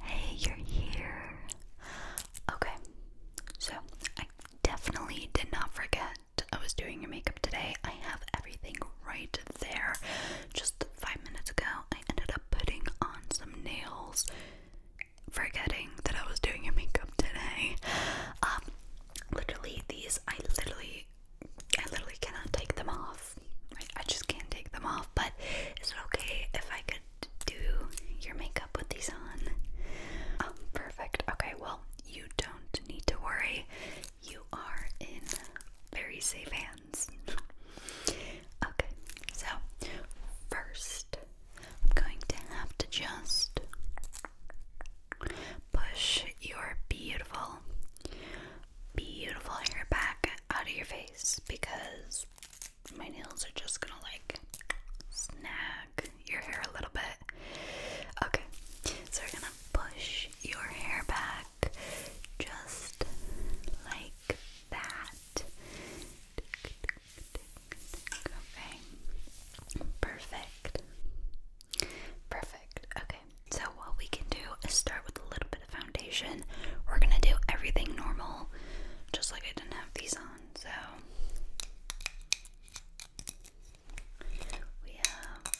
Hey, you're here. Okay, so I definitely did not forget I was doing your makeup today. I have everything right there. Just five minutes ago, I ended up putting on some nails, forgetting that I was doing your makeup today. Um, literally, these I literally I literally cannot take them off. I just can't take them off. But is it okay if I could do your makeup with these on? Oh, perfect. Okay, well, you don't need to worry. You are in very safe hands. okay, so first, I'm going to have to just push your beautiful beautiful hair back out of your face because my nails are just gonna like snag your hair a little bit. Okay, so we're gonna push your hair back just like that. Okay, perfect. Perfect. Okay, so what we can do is start with a little bit of foundation. We're gonna do everything normal, just like I didn't have these on. So we have.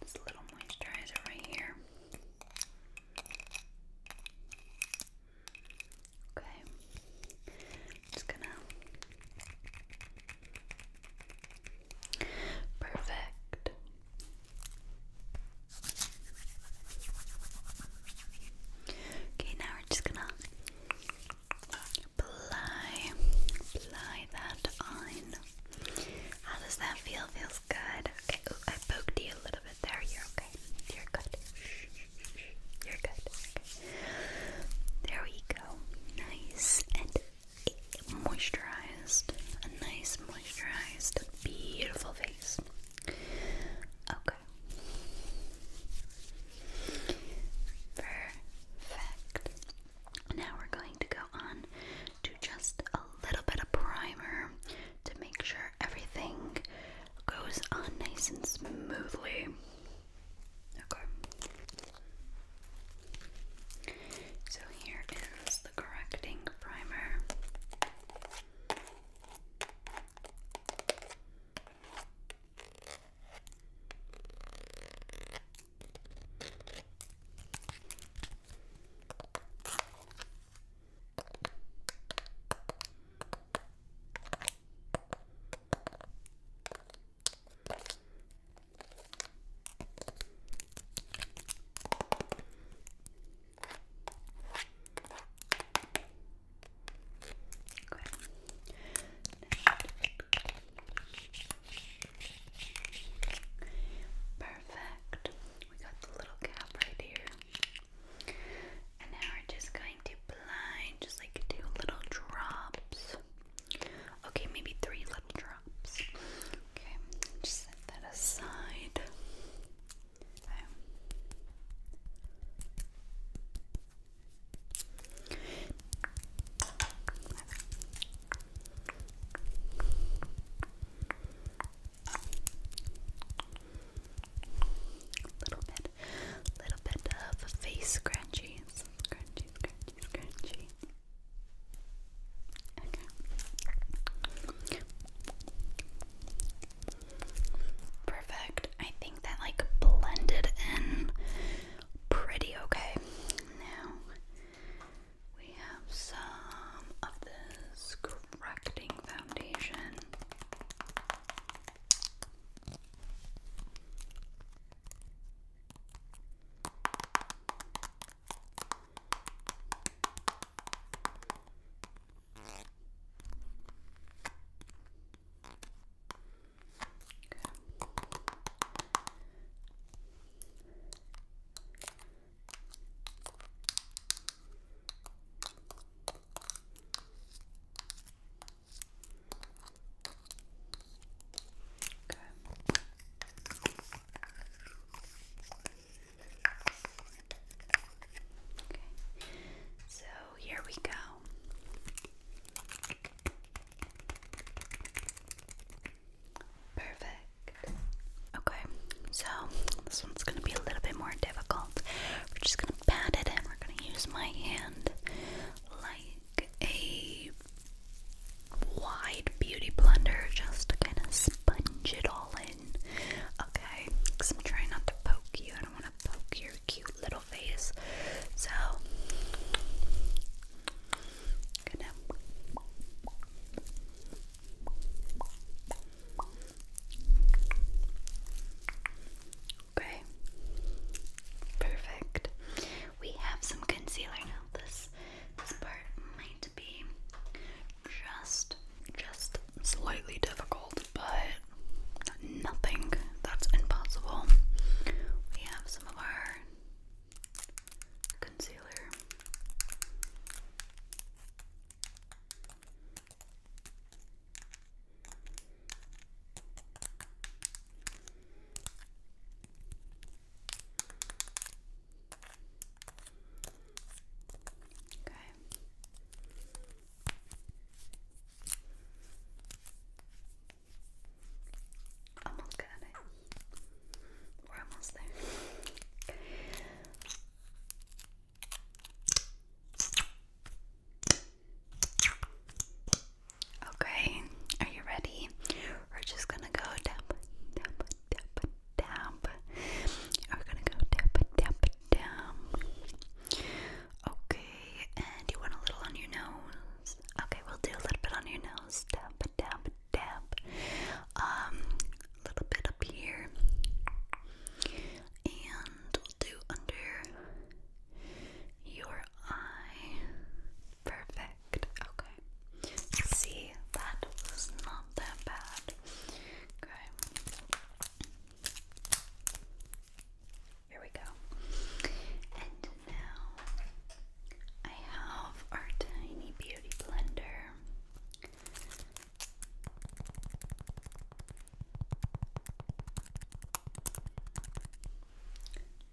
This little moisturizer right here. Okay, just gonna. Perfect. Okay, now we're just gonna apply, apply that on. How does that feel? Feels good. Okay, Ooh, I poked you a little bit there, you're okay. You're good. You're good. Okay. There we go. Nice and moisturized. A nice, moisturized, beautiful face. Okay. Perfect. Now we're going to go on to just a little bit of primer to make sure everything goes on nice and smoothly. Okay. So here is the correcting primer. Perfect. We got the little gap right here. And now we're just going to blind, just like two little drops. Okay, maybe three little drops. Okay, just set that aside. Okay. Okay little bit, little bit of face scrunchies, scrunchy, scrunchy, scrunchy. Okay. Perfect. I think that like blended in pretty okay. Now we have some of this correcting foundation. Okay. So here we go. Perfect. Okay, so this one's gonna be a little bit more difficult. We're just gonna pat it and we're gonna use my hand like a wide beauty blender just to kind of sponge it all in. Okay, because not to poke you, I don't want to poke your cute little face. So, gonna Okay. Perfect. We have some concealer now. This this part might be just just slightly difficult, but nothing that's impossible. We have some of our concealer. Okay. Almost got it. We're almost there. Okay, are you ready? We're just gonna go tap, tap, tap, tap. We're gonna go tap, tap, tap. Okay, and you want a little on your nose? Okay, we'll do a little bit on your nose. Tap, tap, tap. Um, a little bit up here, and we'll do under your eye. Perfect. Okay. See, that was not that bad. Okay. Here we go. And now I have our tiny beauty blender.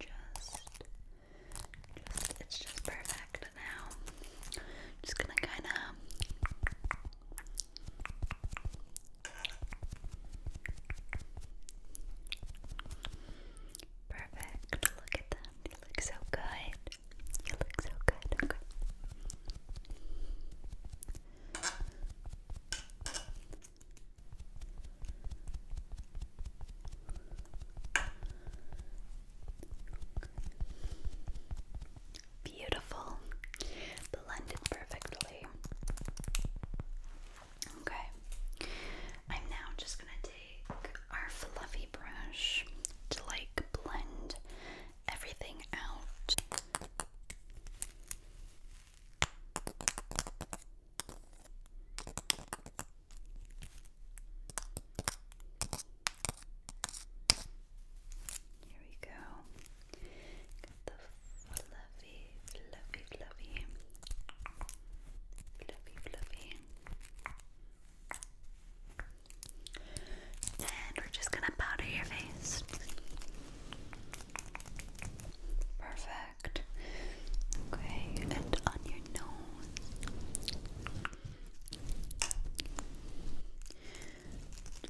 Just, just, it's just perfect now. Just gonna kind of. Perfect. Look at them. They look so good. You look so good. Okay. Beautiful. Blended perfectly. Okay. I'm now just going to take our fluffy brush to like blend everything out. Here we go. Got the fluffy, fluffy, fluffy, fluffy, and we're just gonna powder your face. Perfect. Okay, and on your nose.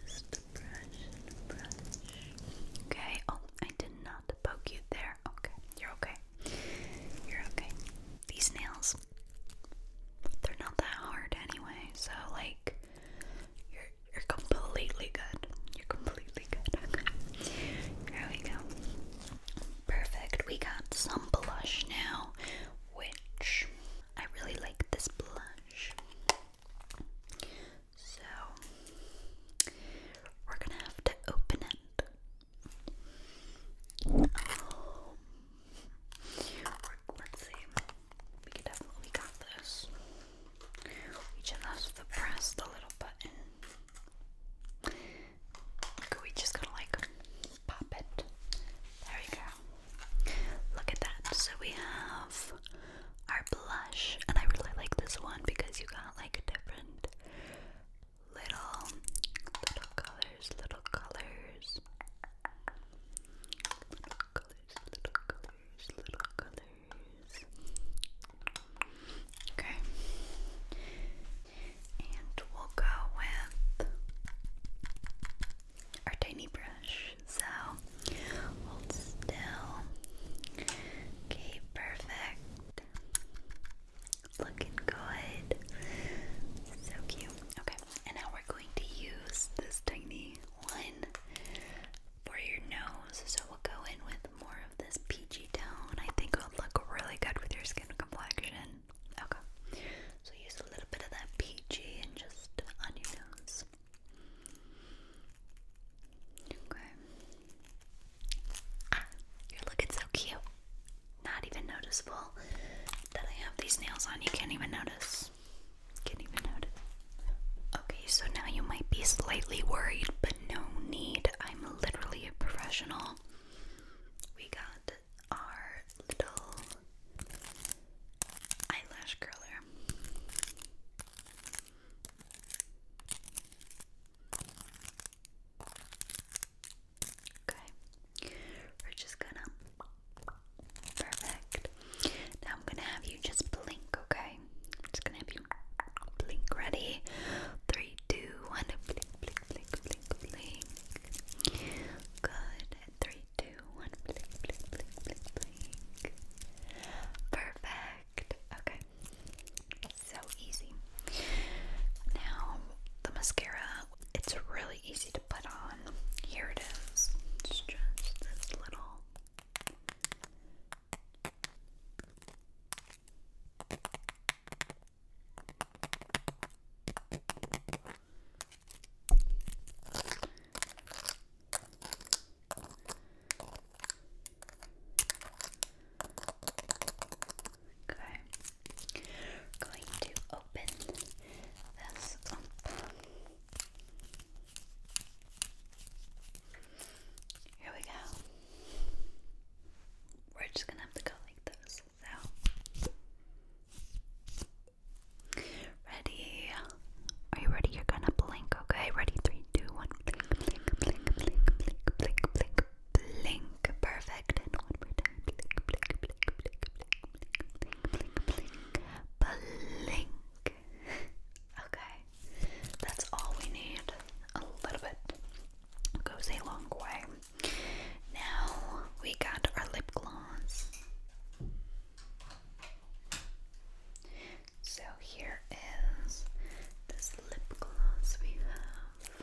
Just a brush brush. Okay, oh, I did not poke you there. Okay, you're okay. You're okay. These nails they're not that hard anyway. So like you're you're completely good. You're completely good. Okay. we go. Perfect. We got some blush now, which I really like this blush. So we're gonna have to open it. Um, we're, let's see. We definitely got this. We just have to press the little button. We just gotta like pop it. There we go. Look at that. So we have our blush, and I really like this one because you got like a different little little color colors, little colors. Little colors, little colors, little colors. Okay. And we'll go with our tiny brush. So hold still. Okay, perfect. Looking good. So cute. Okay, and now we're going to use this tiny one for your nose. So we'll go in with more of this peachy tone. I think it'll look really good with your skin complexion. Okay. So use a little bit of that peachy and just on your nose. Okay. Ah, you're looking so cute not even noticeable that I have these nails on. You can't even notice. Can't even notice. Okay, so now you might be slightly worried, but no need. I'm literally a professional. We got our little eyelash curler. Okay, we're just gonna. Perfect. Now I'm gonna have you just blink, okay? I'm just gonna have you blink. Ready? Three, two, one. Blink, blink, blink, blink, blink. Good. Three, two, one. Blink, blink, blink, blink, blink. Perfect. Okay. So easy. Now the mascara. It's really easy to put on. Here it is. It's just this little. Okay. going to open this up. Here we go. We're just gonna have to go like this. So ready. Are you ready? You're gonna blink, okay? Ready? Three, two, one, blink, blink, blink, blink, blink, blink, blink, blink. Perfect. And one more blink. Okay, that's all we need. A little bit goes a long way. Now we got our lip gloss. So here is this lip gloss we have.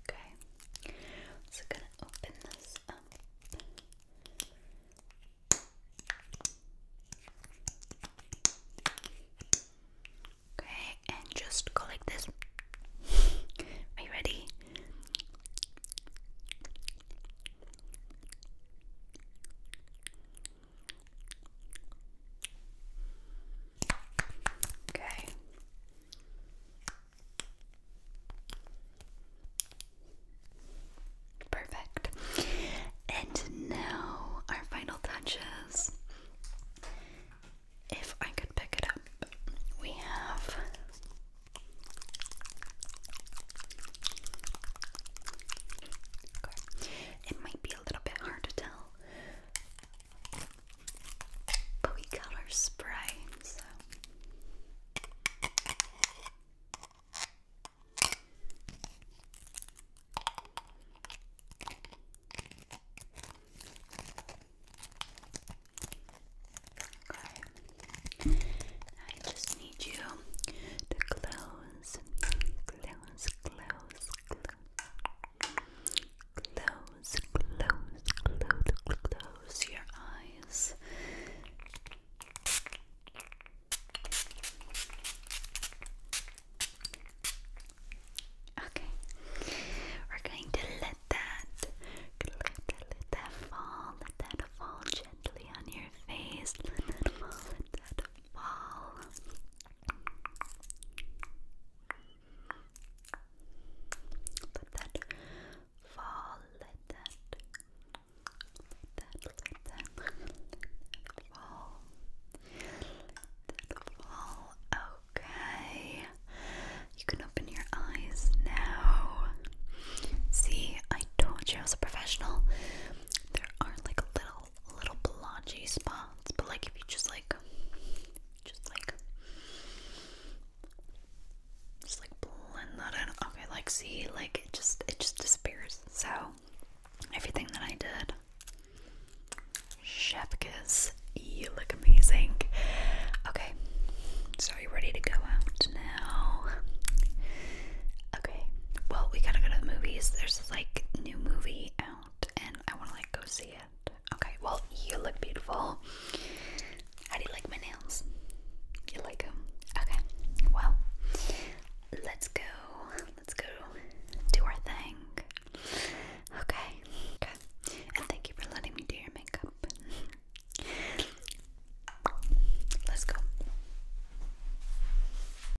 Okay, so gonna open this up. Okay, and just go like this. Are you ready? Okay. Perfect. And now our final touches. If I could pick it up, we have it might be a little bit hard to tell but we got our spray, so I just need you to close, close, close, close, Close, close, close, close your eyes. Okay, we're going to let that, let, let that fall, let that fall gently on your face, let that fall, let that fall. Let that fall. Let that. that. Let that. fall. that fall. Okay. You can open your eyes now. See, I told you I was a professional. There are like little little blotchy spots, but like if you just like, just like, just like blend that in. Okay, like see, like it just it just disappears. So everything that I did, chef kiss. You look amazing. Okay, so are you ready to go out now? Okay. Well, we gotta go to the movies. There's like new movie out and I want to like go see it. Okay, well, you look beautiful. How do you like my nails? You like them? Okay, well, let's go. Let's go do our thing. Okay, okay. And thank you for letting me do your makeup. Let's go.